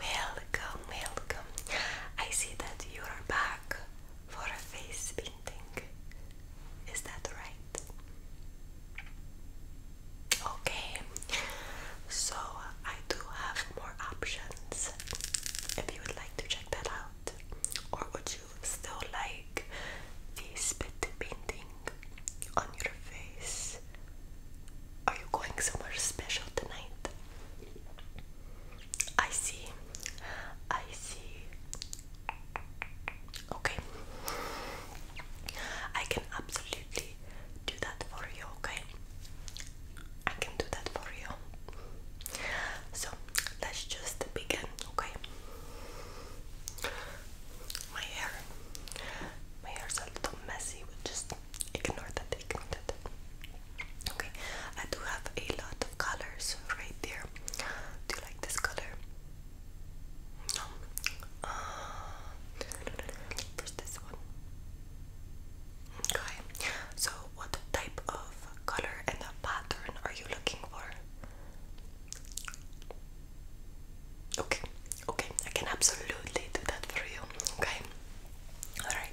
Welcome, welcome. I see that you are back for a face painting. Is that right? Okay, so I do have more options if you would like to check that out, or would you still like the spit painting on your face? Are you going somewhere special tonight? I see. I see. Okay. I can absolutely do that for you, okay? I can do that for you. So let's just begin, okay? My hair. My hair's a little messy with just Ignore that, ignore that. Okay, I do have a lot of colors right there. Do you like this color? No. first, uh, this one. Okay, so what type of color and a pattern are you looking for? Okay, Okay, I can absolutely do that for you. Okay, all right.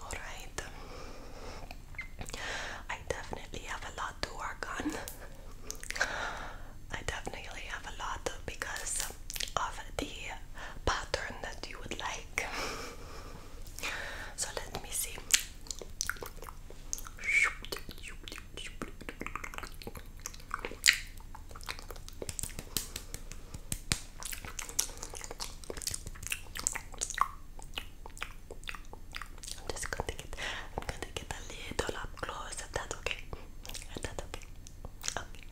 Alright. I definitely have a lot to work on. I definitely have a lot because of the pattern that you would like. So let me see. I'm just gonna get I'm gonna get a little up close if that. okay. If that's okay. Okay.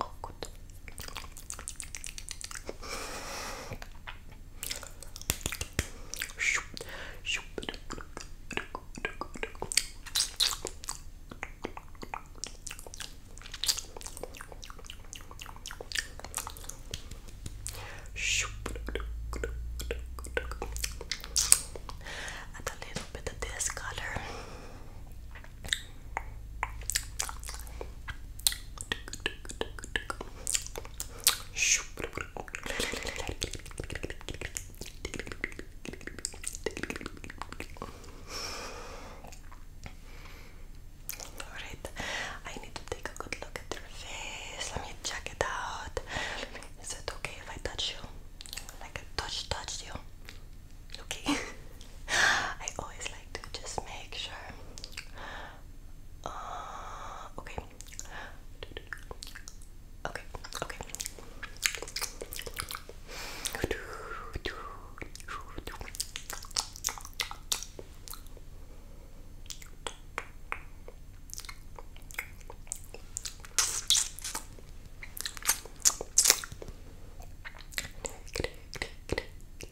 Oh, good. Add a little bit of this color. Alright, I need to take a good look at your face. Let me check it out. Is it okay if I touch you? Like a touch touch you? Okay. I always like to just make sure. Uh, okay. Okay. Okay.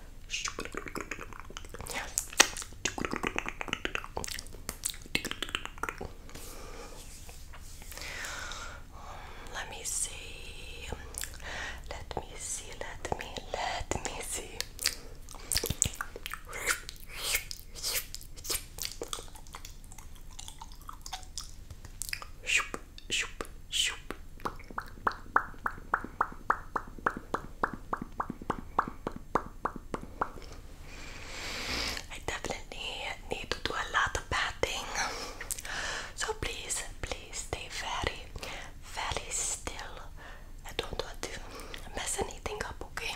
Let me see. Let me see. Let me. Let me see. Shoop, shoop, shoop. I definitely need to do a lot of patting. So please, please stay very, very still. I don't want to mess anything up, okay?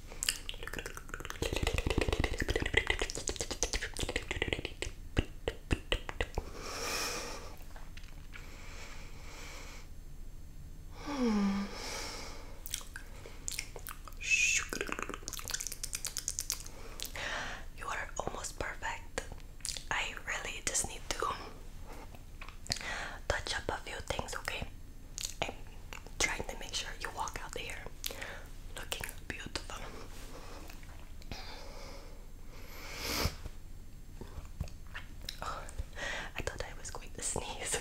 Hmm. You are almost perfect. I really just need to touch up a few things, okay? I'm trying to make sure you walk out there looking beautiful. Oh, I thought I was going to sneeze.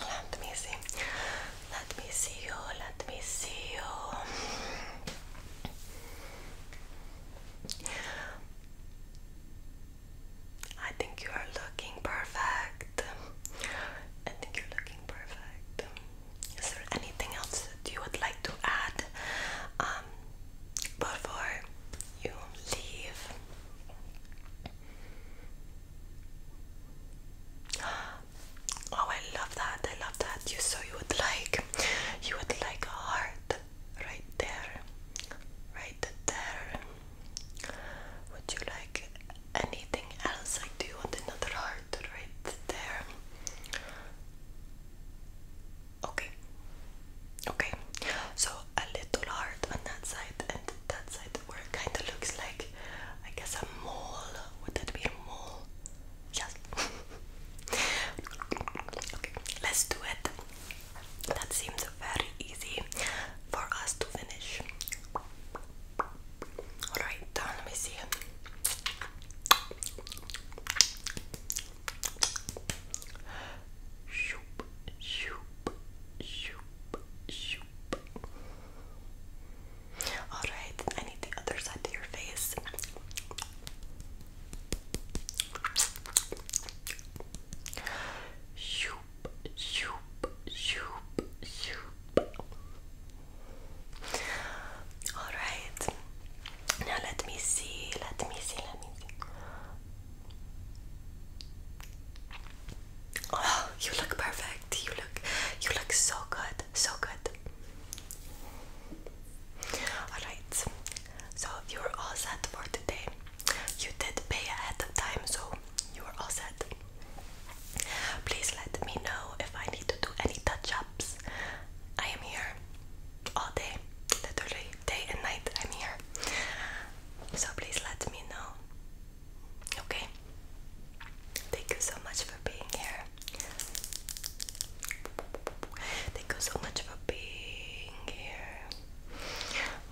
Let me see. Let me see you. Let me see you. I think you are looking perfect. I think you're looking perfect. Is there anything else that you would like to add um, before you leave? Oh, I love that. I love that. You so you would like you would like a heart right there. Right there. Would you like anything else? Like do you want another heart right there? Okay. Okay. So a little hard on that side and that side where it kind of looks like, I guess, a mole. Would that be a mole? Yes. okay, let's do it. That seems very easy for us to finish. Alright, let me see. Shoop, shoop, shoop, shoop, Alright, I need the other side to your face. Shoop, shoop, shoop, shoop. Alright. Now let me see, let me see, let me see. Oh, you look perfect. You look you look so good. So good. Alright. So you're all set for today. You did pay ahead of time, so you are all set. Please let me know if I need to do any touch-ups. I am here all day, literally day and night. I'm here. So please let me know Okay? Thank you so much for being here. Thank you so much for being here.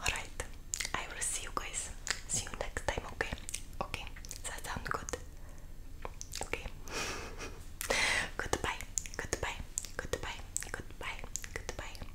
Alright, I will see you guys. See you next time, okay? Okay, does that sound good? Okay. goodbye, goodbye, goodbye, goodbye, goodbye.